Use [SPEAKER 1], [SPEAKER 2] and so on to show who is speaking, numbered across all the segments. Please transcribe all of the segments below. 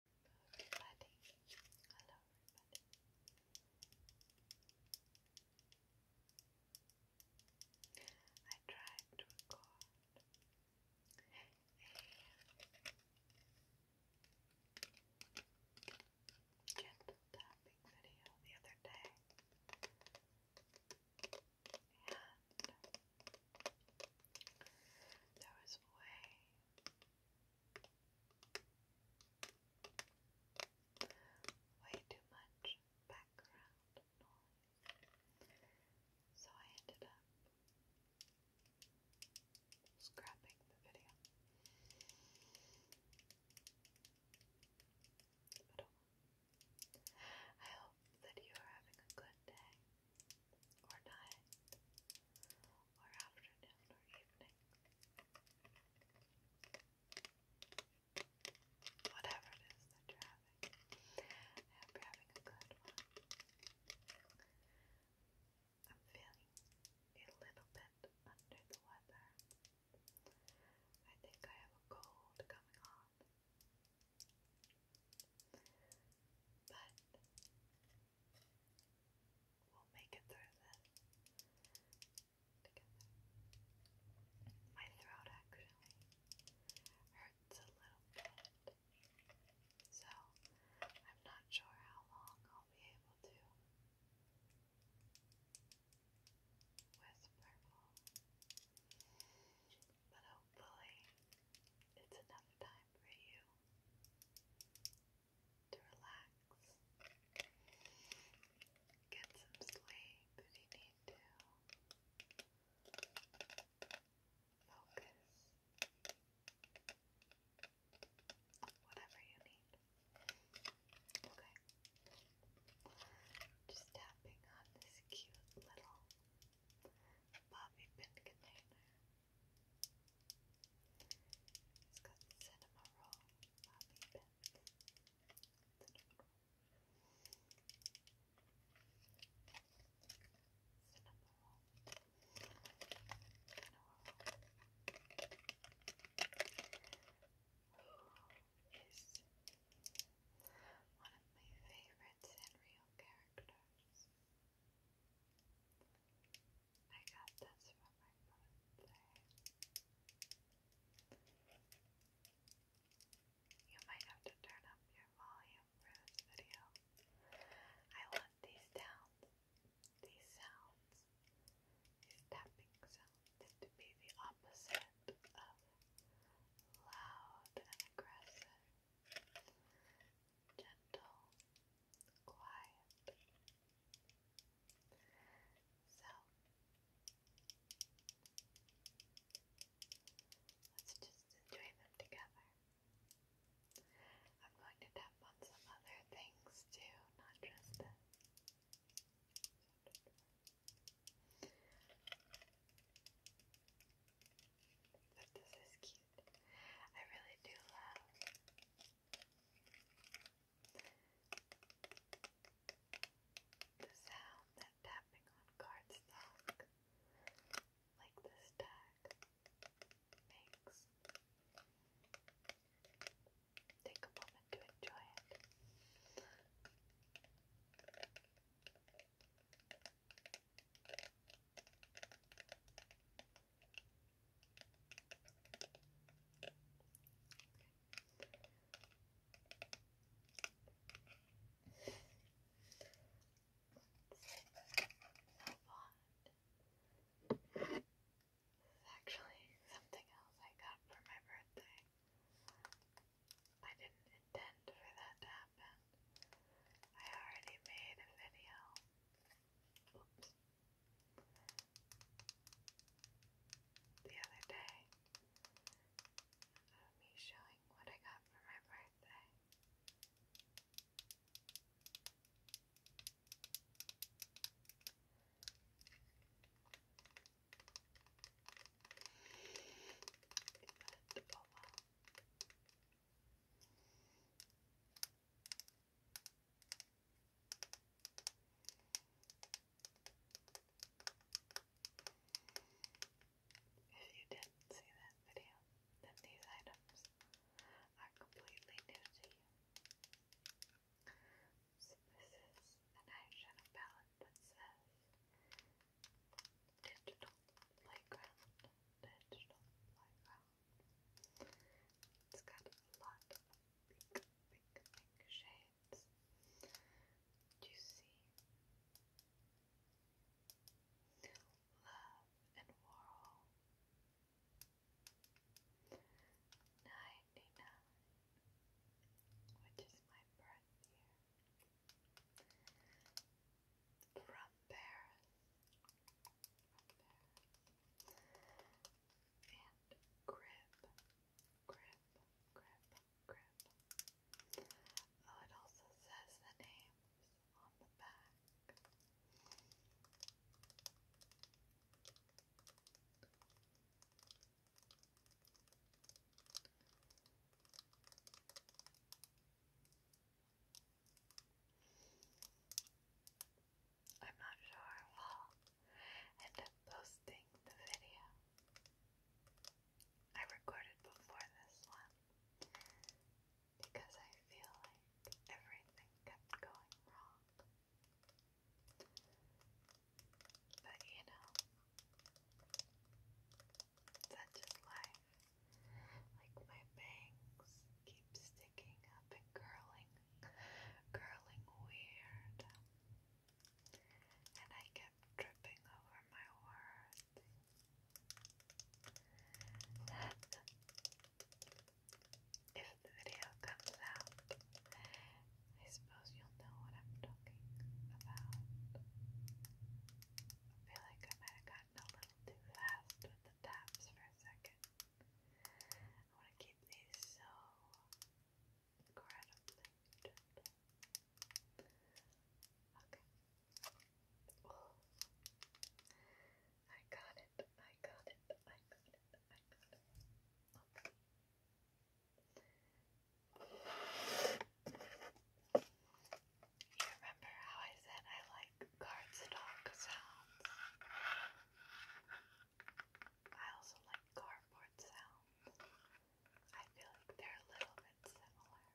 [SPEAKER 1] everybody. Hello, I tried to record a gentle tapping video the other day. And there was way way too much background noise. So I ended up scrapping the video. Oh I hope that you are having a good day or night, or afternoon or evening, whatever it is that you're having. I hope you're having a good one. I'm feeling a little bit under the weather. I think I have a cold coming on. But we'll make it through this together. My throat actually hurts a little bit, so I'm not sure how long I'll be able to whisper. But hopefully, it's enough time for you to relax. Get some sleep if you need to. Focus. Whatever you need. Okay. Just tapping on this cute little bobby pin container. It's got cinema roll, bobby pin, cinema roll, cinema roll, cinema roll. Who is one of my favorites Sanrio characters? I got this for my birthday. You might have to turn up your volume for this video. I love these sounds, these tapping sounds to be the opposite of loud and aggressive gentle, quiet. So let's just enjoy them together. I'm going to tap on some other things too, not just this. But this is cute. I really do love the sound that tapping on cardstock like this tag makes. Take a moment to enjoy it. It's actually something else I got for my birthday. I didn't intend for that to happen. I already made a video. The other day of me showing what I got for my birthday. But, If you didn't see that video, then these items are completely new to you. So this is an eyeshadow palette that says digital playground, digital playground. It's got a lot of pink, pink, pink shades. Do you see? Love and Whirl. 99, which is my birthday here. From Paris. And grip. Grip. Grip. Grip. Oh, it also says the names on the back. I'm not sure I'll end up posting the video. I recorded before this one because I feel like everything kept going wrong. But you know, that's just life. Like my bangs keep sticking up and curling, curling weird. And I kept tripping over my words when the video comes out. I suppose you'll know what I'm talking about. I feel like I might have gotten a little too fast with the taps for a second. I want to keep these so incredibly gentle. Okay. I got it, I got it, I got it, I got it. Okay. You remember how I said I like cardstock sounds? I also like cardboard sounds. I feel like they're a little bit similar.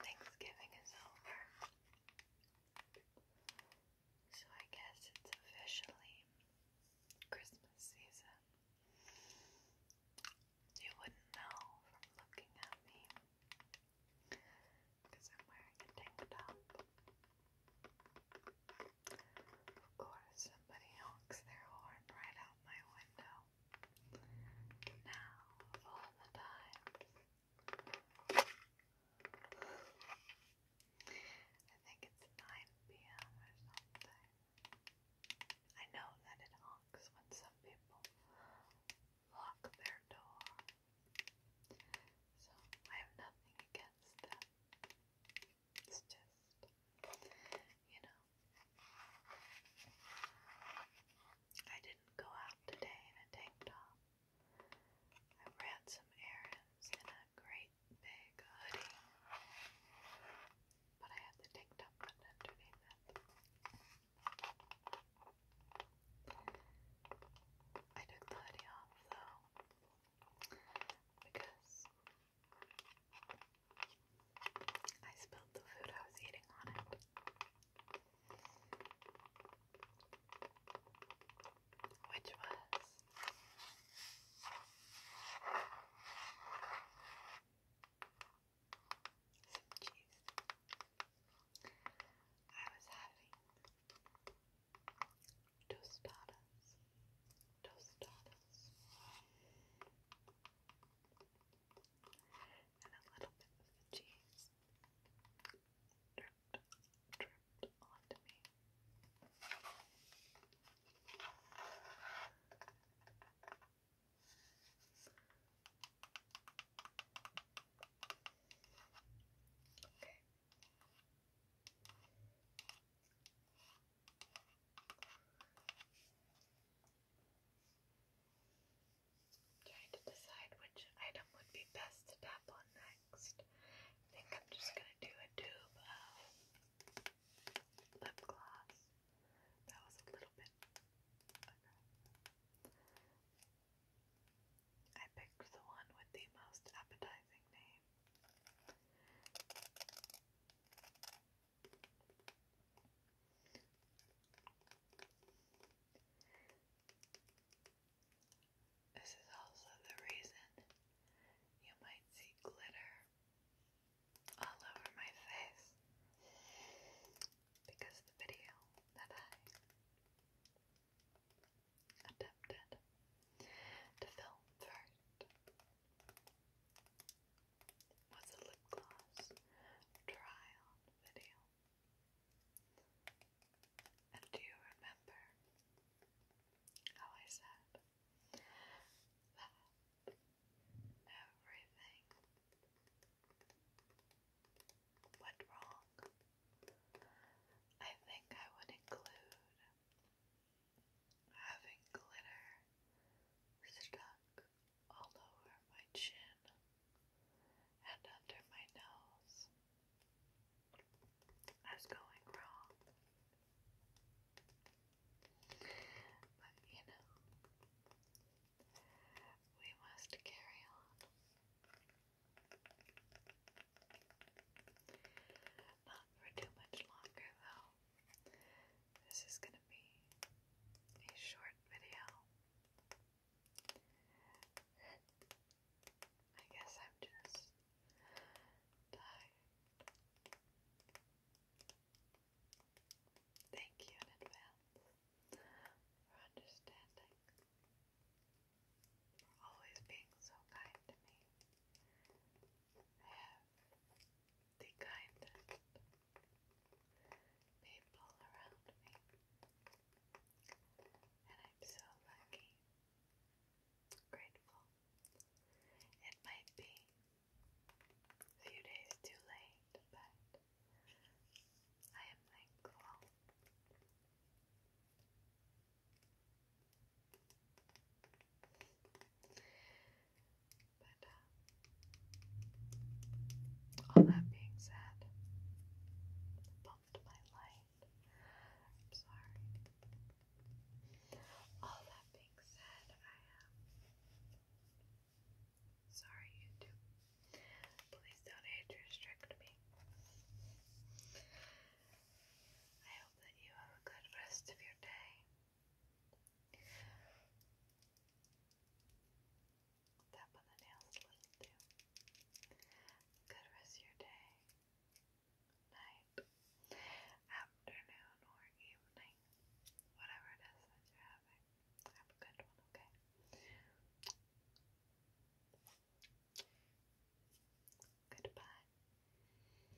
[SPEAKER 1] Thanksgiving is over. So I guess it's officially Christmas season. You wouldn't know from looking at me because I'm wearing a tank top. Of course, somebody honks their horn right out my window. Now, all the times, I think it's 9 p.m. or something. I know that it honks when some people lock their door, so I have nothing against that. It's just, you know. I didn't go out today in a tank top. I ran some errands in a great big hoodie, but I had the tank top underneath it. I took the hoodie off though, because I spilled the food I was eating on it which was some cheese. I was having tostadas, tostadas, and a little bit of the cheese dripped, dripped onto me. Okay trying to decide which item would be best to tap on next. I think I'm just gonna do a tube of lip gloss. That was a little bit. I picked the one with the most appetizing name. This is also the reason you might see glitter all over my face because the video that I attempted to film first was a lip gloss try video. And do you remember how I said that everything went wrong? I think I would include having glitter stuck all over my chin and under my nose. I was going wrong. But you know, we must carry on. Not for too much longer, though. This is going to be a short video. I guess I'm just tired. Thank you in advance for understanding, for always being so kind to me the kindest people around me, and I'm so lucky, grateful. It might be a few days too late, but I am thankful. But all uh, that being said, bumped my light. I'm sorry. All that being said, I am sorry, YouTube. Please don't age restrict me. I hope that you have a good rest of your day. Tap on the nails too. Good rest your day, night, afternoon, or evening, whatever it is that you're having. Have a good one, okay? Goodbye.